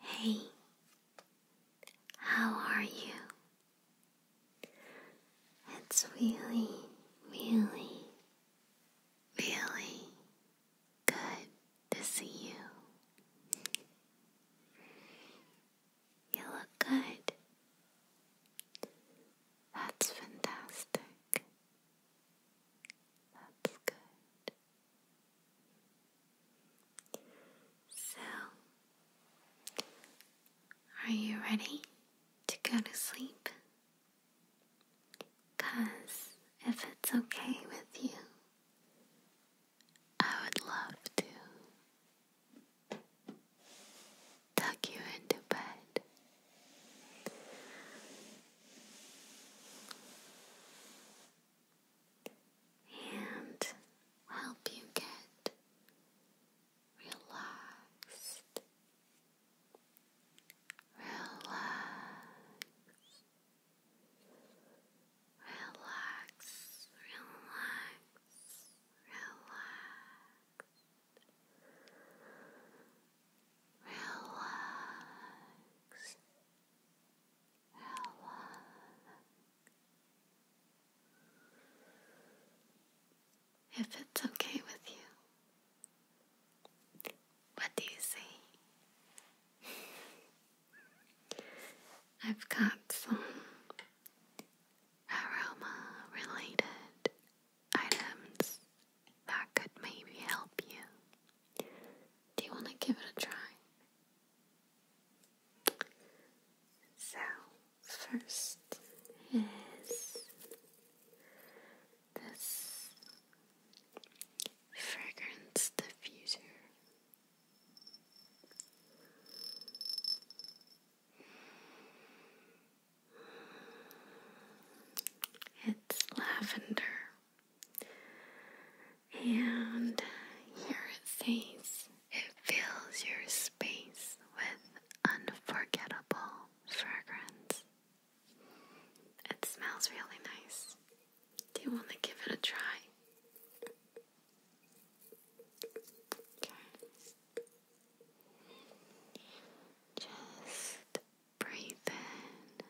Hey, how are you? It's really, really, really good to see you. You look good. That's fantastic. That's good. So, are you ready to go to sleep? Because if it's okay with you, I would love to tuck you into bed and help you get relaxed, relaxed, relax, relax, relax relax, relax. If it's okay with you, what do you say? I've got some aroma related items that could maybe help you. Do you want to give it a try? So, first is this fragrance diffuser. It's lavender. And here it says it fills your space with unforgettable fragrance. It smells really nice. Do you want to give it a try? Okay. Just Breathe in. Good.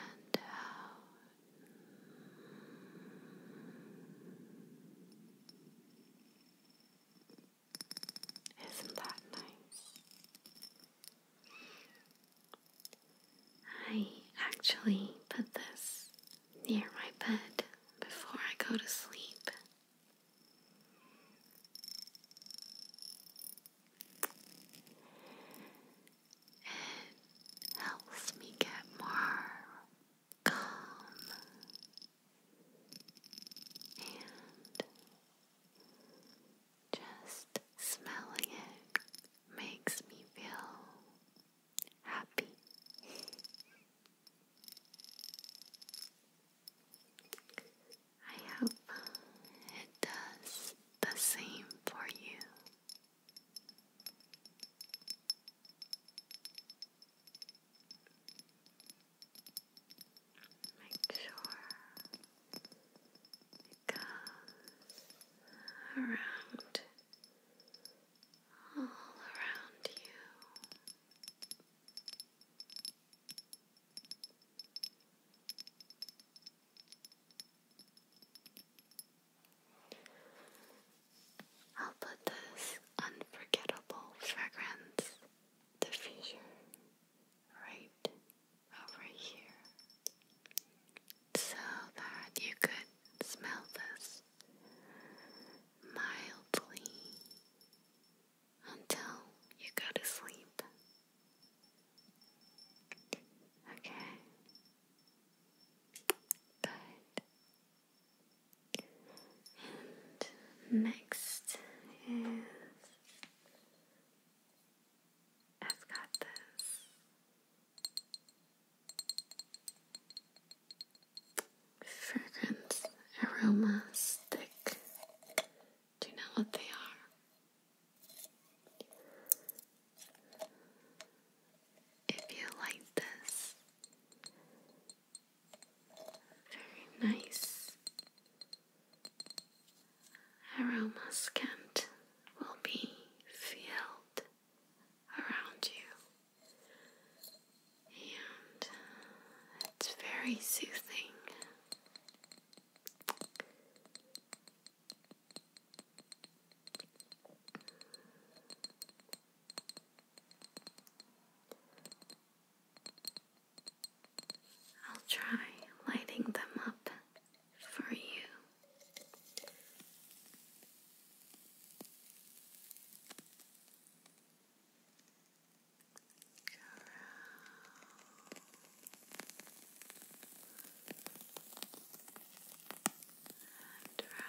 And out. Isn't that nice? I actually put this near my bed before I go to sleep. It helps me get more calm and just smelling it makes me feel happy. I hope it does the same for you. Make sure it goes around, all around you. I'll put this unforgettable fragrance the fissure right over here so that you could smell this mildly until you go to sleep. Okay. Good next is I've got this fragrance aroma stick. Do you know what they are? If you like this, very nice aromascent will be filled around you and uh, it's very soothing. I'll try lighting them up for you. Around you.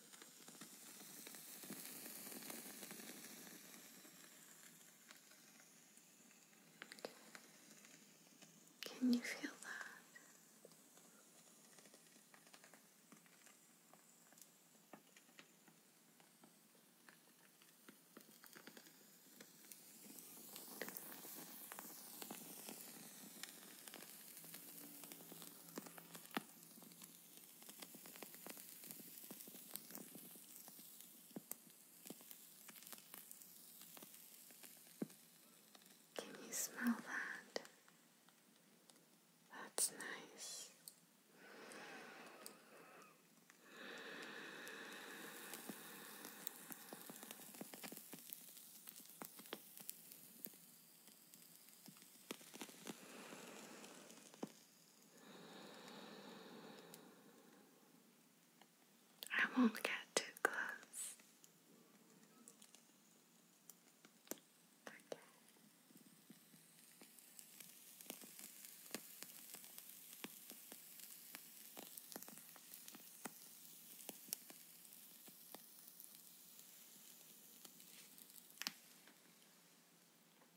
Can you feel that? Can you smell that? That's nice. I won't get too close. Okay.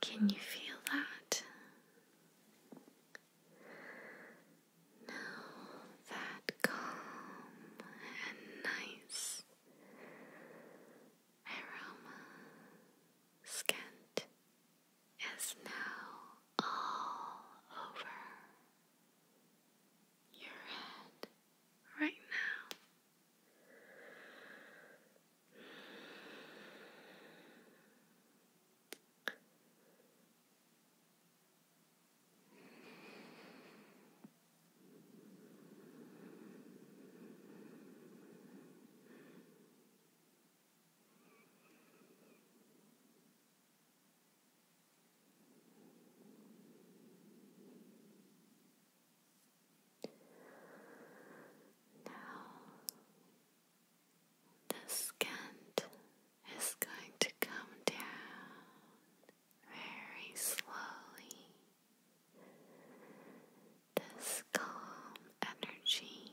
Can you feel that? Now that calm and nice aroma scent is now all over your head right now. Now, the scent is going to come down very slowly. This calm energy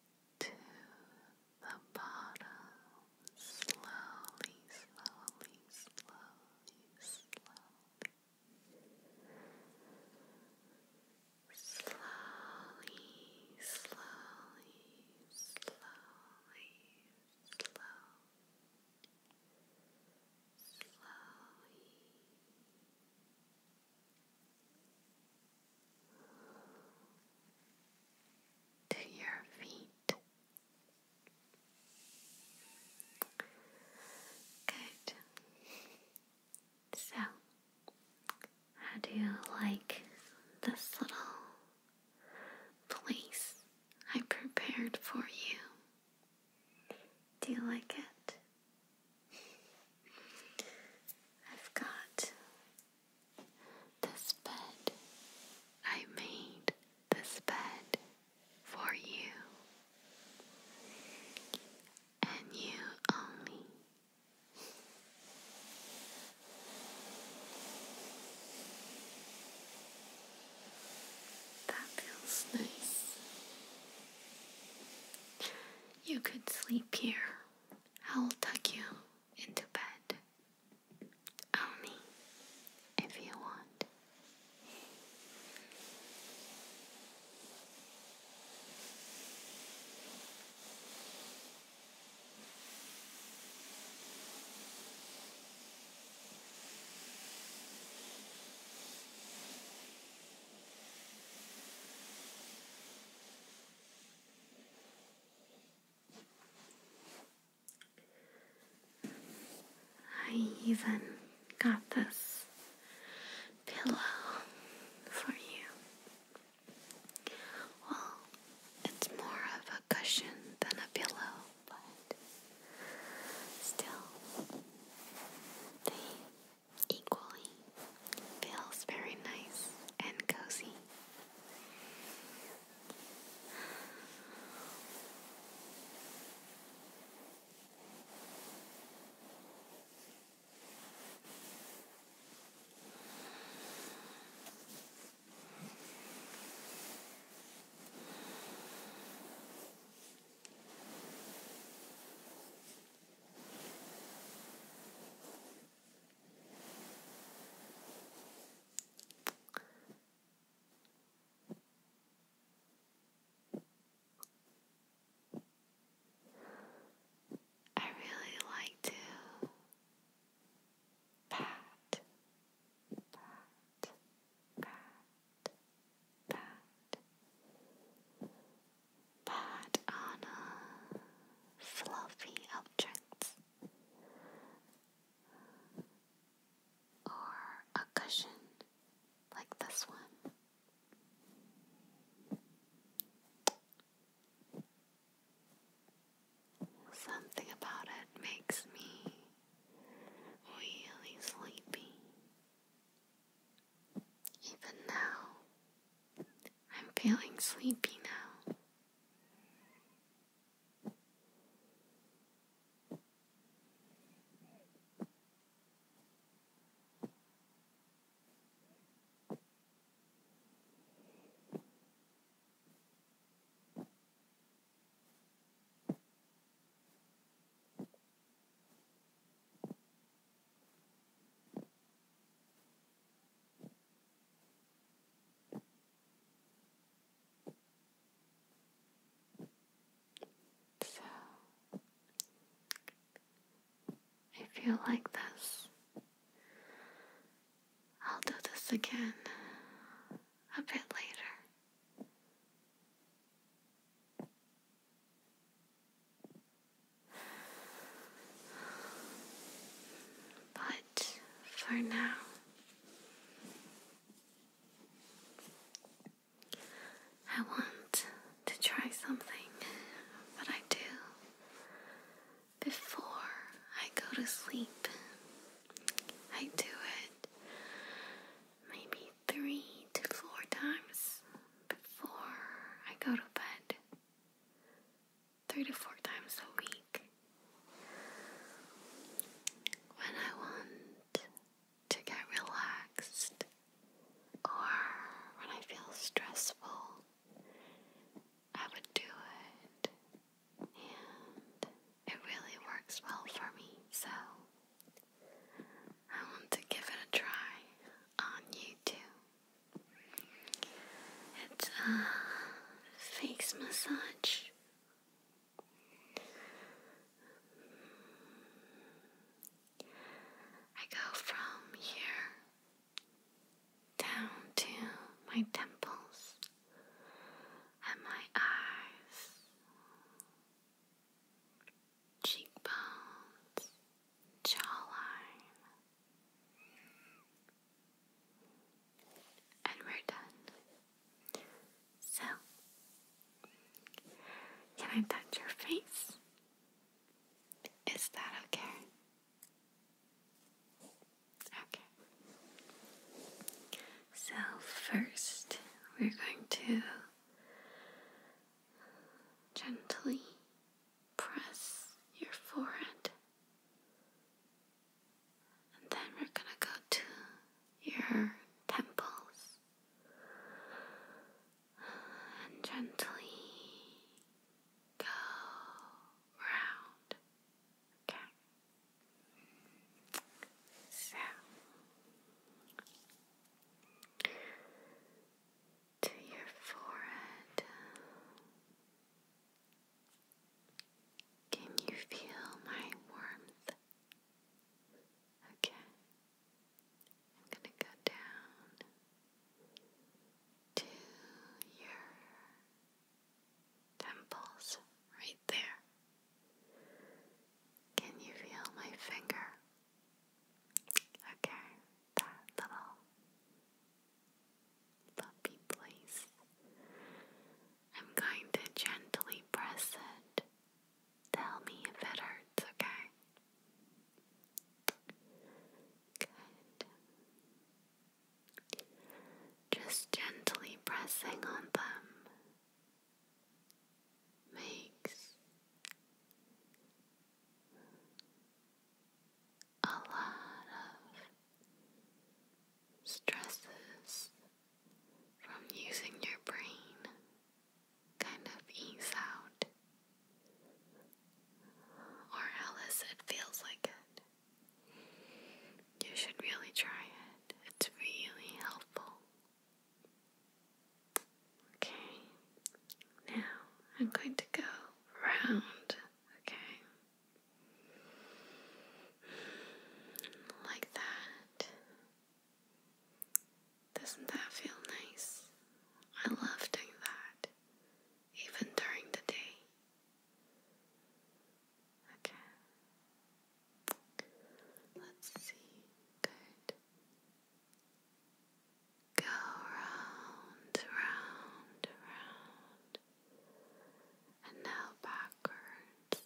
to the bottom, slowly, slowly, slowly, slowly. Slowly, slowly, slowly, slowly, to your feet. Good. So, how do you like this little place I prepared for you? Do you like it? I've got this bed. I made this bed for you, and you only. That feels nice. You could sleep here I will tuck you into bed. Own if you want. I even got this pillow for you. Well, it's more of a cushion than a pillow, but still, they equally. Feels very nice and cozy. I really like to pat, pat, pat, pat, but on a fluffy objects or a cushion like this one. Something about it makes me really sleepy. Even now, I'm feeling sleepy now. So I feel like this. I'll do this again a bit later. But for now, I want to try something, but I do before I go to sleep. I do it maybe three to four times before I go to bed three to four times a week when I want to get relaxed or when I feel stressful. I would do it, and it really works well for me, so I want to give it a try on YouTube. It's a face massage. I go from here down to my temples and my eyes, cheekbones, jawline, and we're done. So, can I touch your face? Is that okay? Okay. So, first, we're going to gently press your forehead. And then we're gonna go to your temples and gently go round. Okay. So to your forehead. Can you feel my warmth? Okay. I'm going to go down to your temples right there. Can you feel my finger? Okay that little puppy place. I'm going to gently press it. Tell me if it hurts, okay? Good. Just gently pressing on them makes a lot of stresses from using your brain kind of ease out, or else it feels like it. You should really try it, it's really helpful. Okay, now I'm going to go round okay? Like that. Doesn't that feel nice? I love doing that, even during the day. Okay. Let's see. Good. Go round, round, round, and now backwards.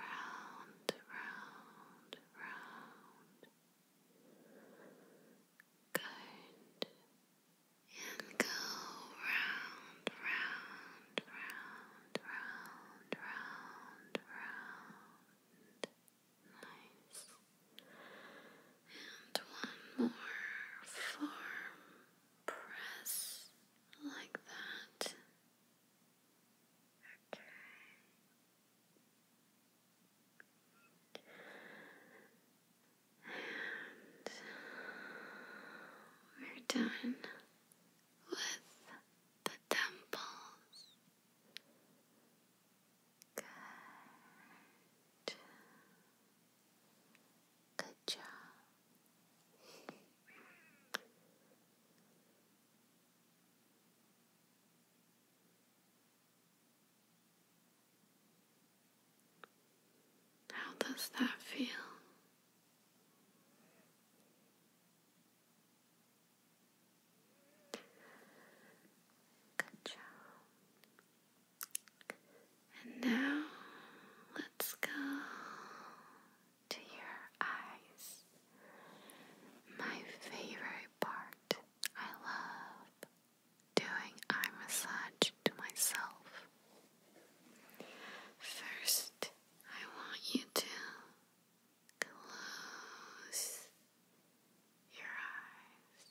Round, round, round. Good. And go round, round, round, round, round, round. Nice. And one more farm press like that. Okay. And we're done with the temples. Good. Good job. How does that feel? Good job. And now let's go to your eyes. My favorite part. I love doing eye massage to myself. First, I want you to close your eyes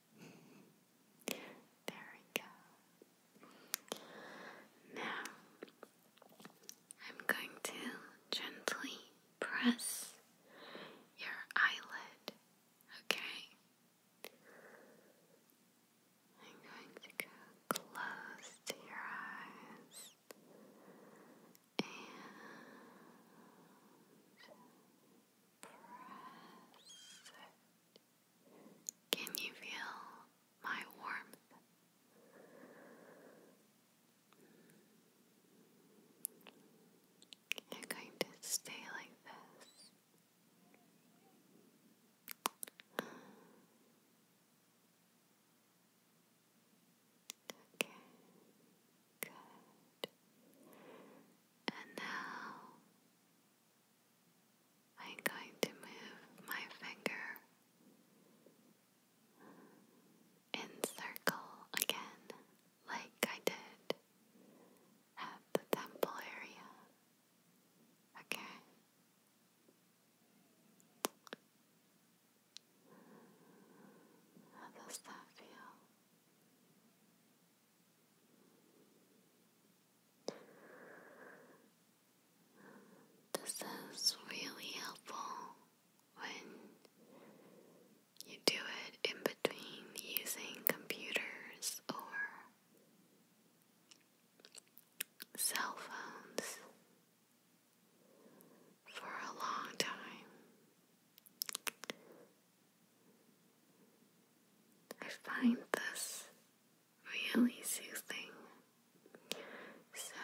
There we go. Now, I'm going to gently press your eyelid, okay? I'm going to go close to your eyes can you feel my warmth? You're going to stay like this. Okay. And now I'm going to move my finger in circle again, like I did at the temple area. Okay. How does that feel? This is really helpful when you do it in between using computers or cell phones for a long time. I find this really soothing. So,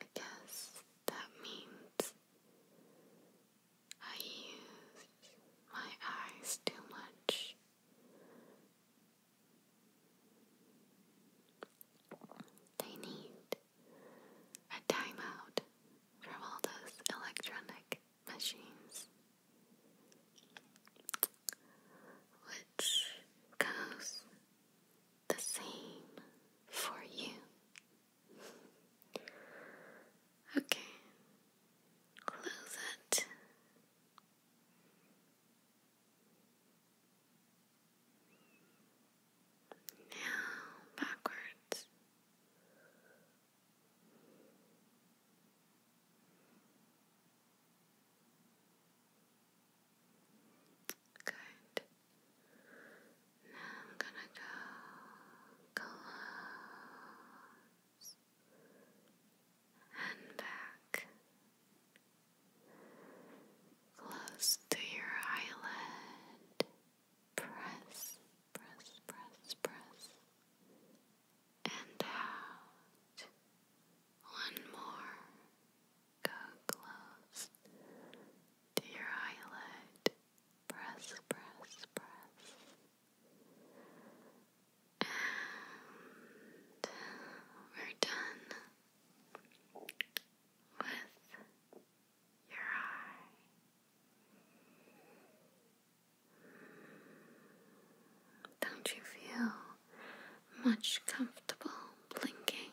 I guess that means I use my eyes too much. They need a timeout from all those electronic machines, which goes the same for you. Okay, close it. Now backwards Good. Now I'm gonna go close and back close to your eyelid press, press, press, press, and out. One more. Go close to your eyelid. Press, press, press. And we're done with your eye. Don't you feel much comfortable blinking?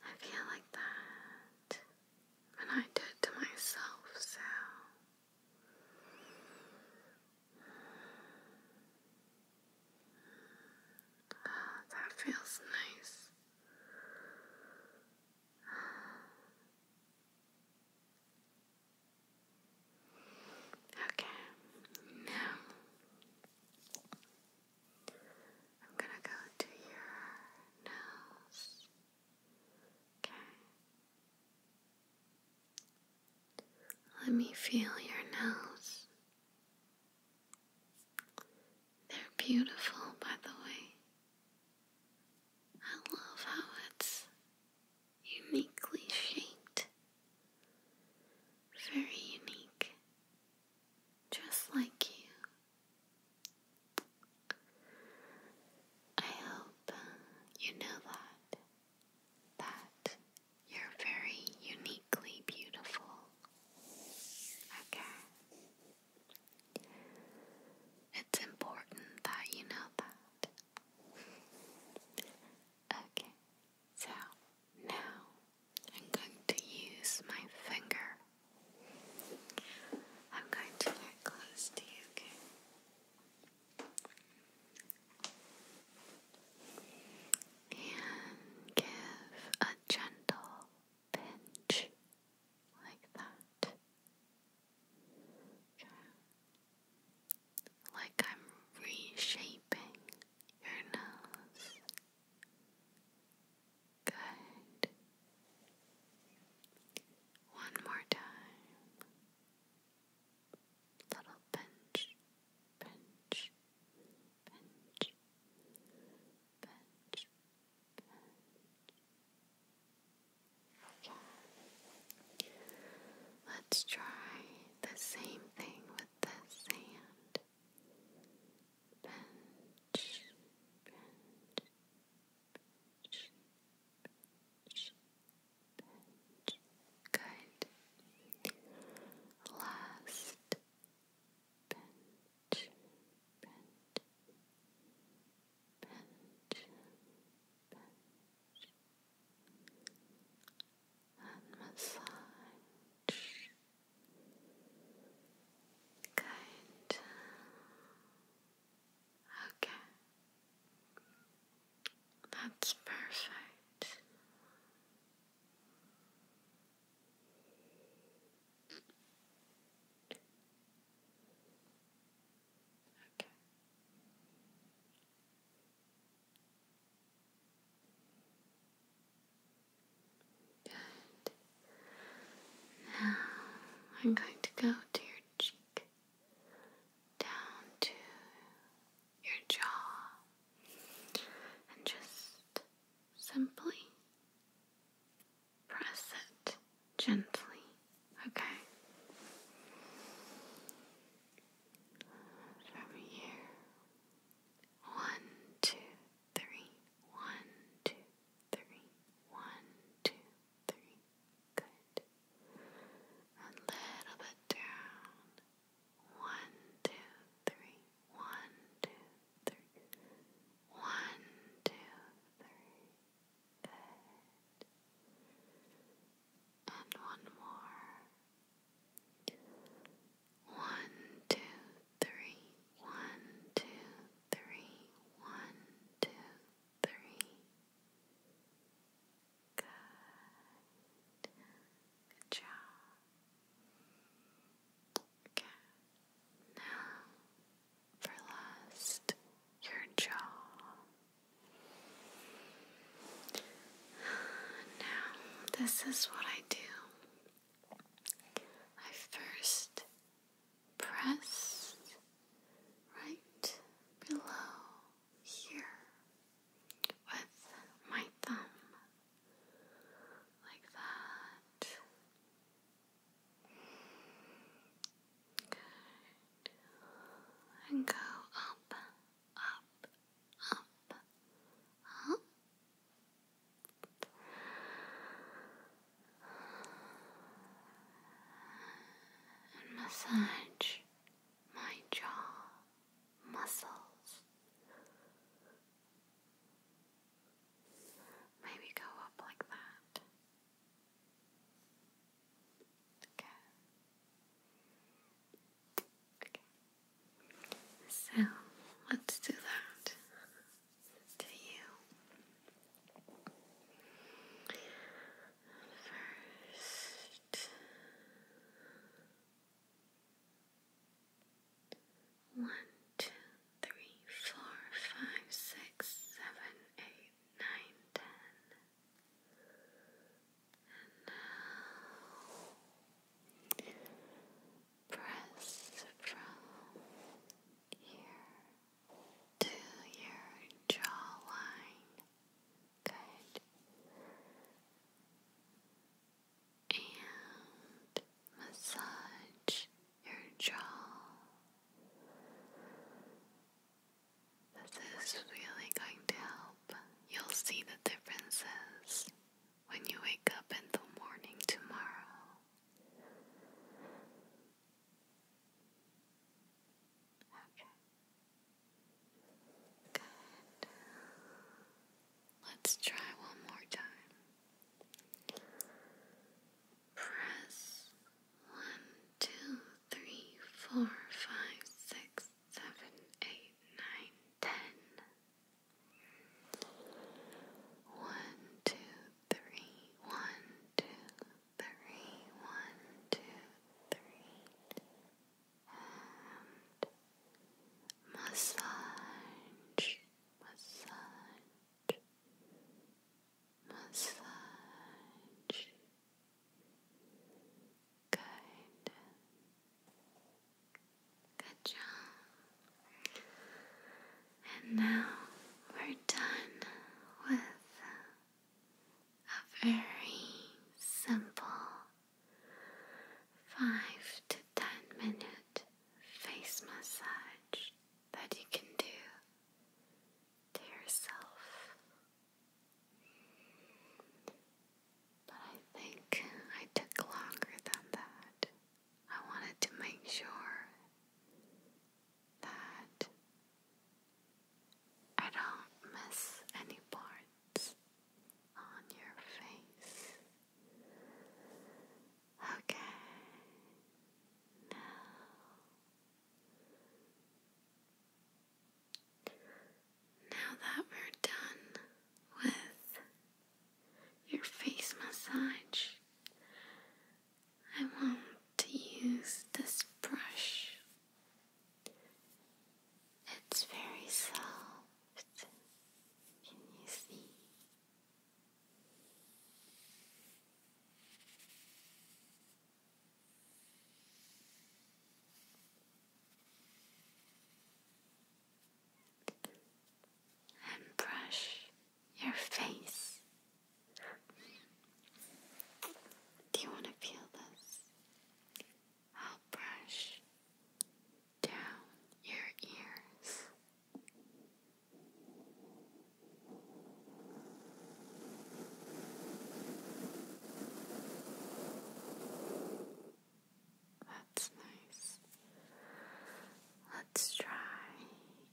I feel like that when I did to myself, so. Ah, that feels nice. Okay, now I'm gonna go to your nose. Okay. Let me feel your nose. They're beautiful, by the way. I love how it's uniquely shaped. Very unique. Just like you. I hope you know that. That you're very uniquely beautiful. Okay. It's important that you know that. okay, so now I'm going to use my finger. I'm going to get close to you, And give a gentle pinch like that. Okay. Like I'm reshaping your nose. Good. One more time. Little pinch, pinch, pinch, pinch, Let's try the same thing with the sand. Good. Last bench, bench, bench, and massage, Okay, that's perfect. Okay. Good. Now I'm going to go to your cheek, down to your jaw, and just simply press it gently, okay? From here, one, two, three, one, two, three, one, two, three, good. A little bit down, one, two, three, one, two, two, three. And one more. One, two, three. One, two, three. One, two, three. Good job. Look now for last, your jaw. Now, this is what I do. I first press right below here with my thumb, like that. And go up, up, up, up. And massage my jaw muscles. Maybe go up like that. Okay. Okay. So let's do that to you. First. One, two, three, four, five, six, seven, eight, nine, ten. And now press from here to your jawline. Good. And massage your jaw. This is really going to help. You'll see the differences when you wake up in the morning tomorrow. Okay. Good. Let's try one more time. Press one, two, three, four, five, six, seven, eight, nine, ten. One, two, three, one, two, three, one, two, three. And Massage, massage, massage good good job and now we're done with a very simple five to ten minute face massage that you can do to yourself. But I think I took longer than that. I wanted to make sure that I don't miss any parts on your face. Okay. Now. Now that we're done with your face massage, I want to use this brush. It's very soft. Can you see? and brush your face. Do you want to feel this? I'll brush down your ears. That's nice. Let's try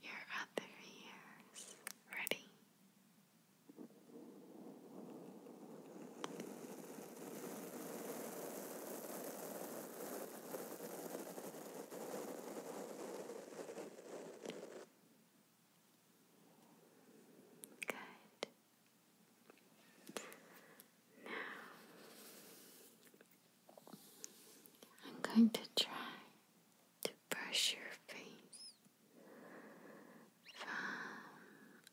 your other ears. Ready? Good. Now I'm going to try to brush your face from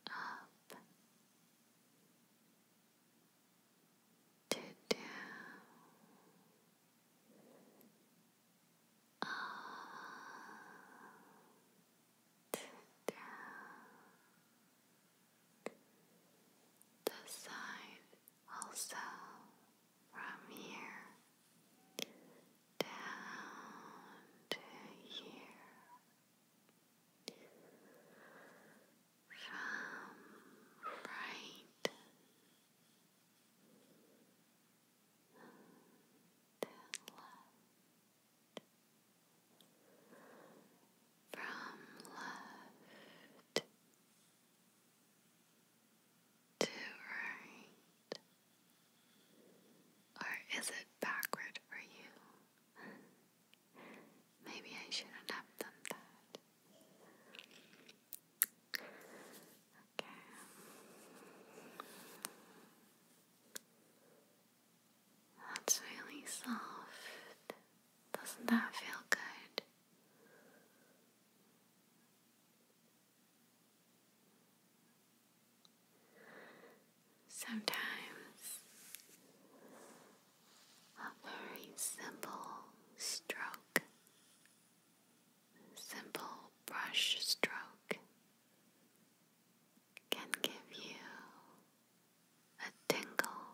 up to do all to do the side also from here down to here from right then from left to right or is it backward for you? Maybe I shouldn't have done that. Okay. That's really soft. Doesn't that feel good? Sometimes a very simple stroke simple brush stroke can give you a tingle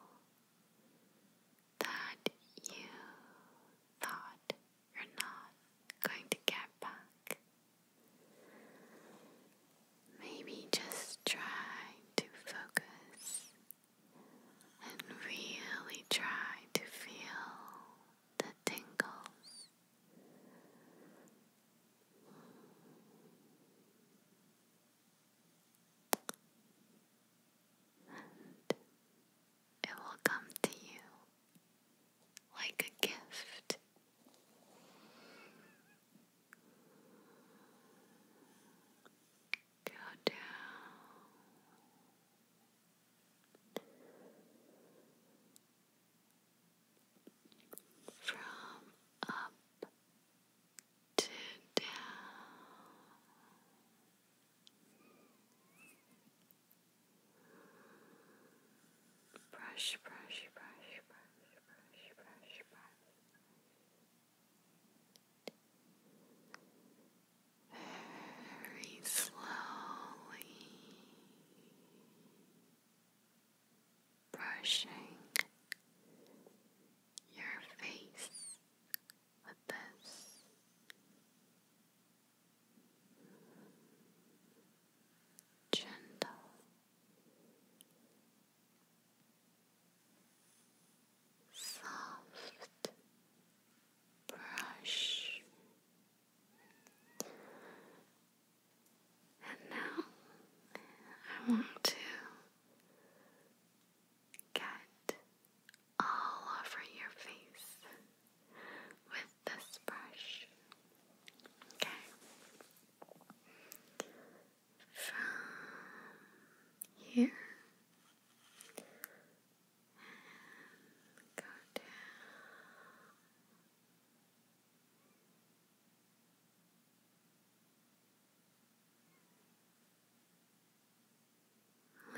that you thought you're not going to get back. Maybe just try to focus and really try to feel the tingles. And it will come to you like a gift. Go down from up to down. Brush, brush, brush, brush, brush, brush, brush very slowly brushing your face with this. Gentle, soft brush. And now I want to get all over your face with this brush. Okay. From here and go down.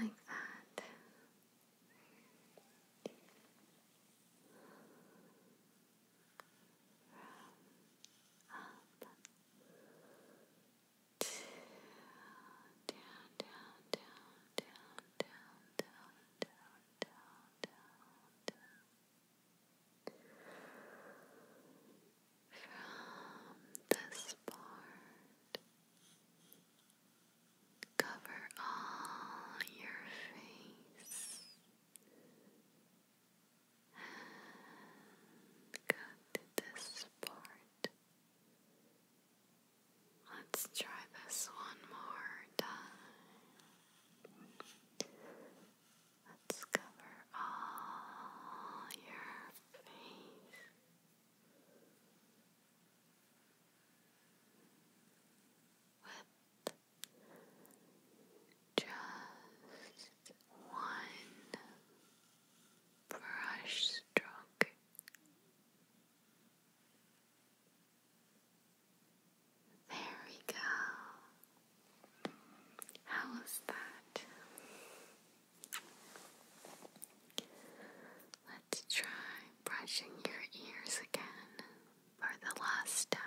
Like that. up down, down, down, down, down, down, down, down, down, down. From this part, cover all your face. And cut this part Let's try this one more time. Let's cover all your face. With just one brush stroke. There we go. How was that? Let's try brushing your ears again for the last time.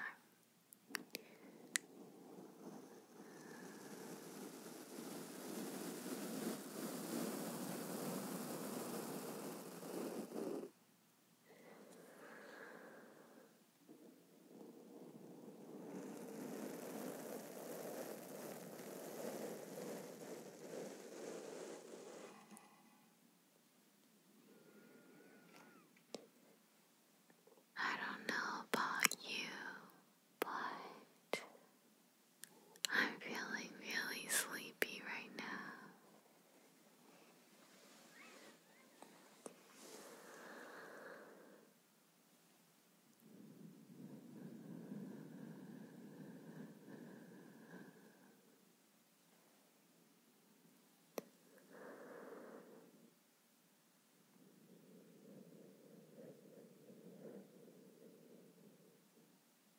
I don't know about you, but I'm feeling really sleepy right now.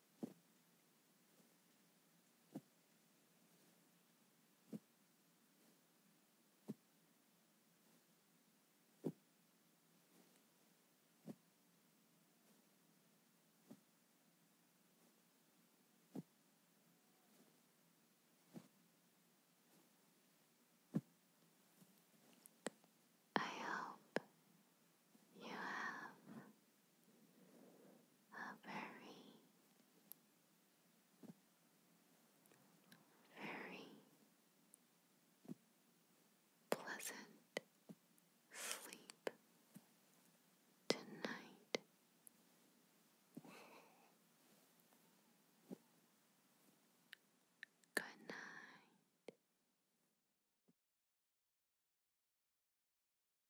I hope you have a very, very pleasant sleep tonight. Good night.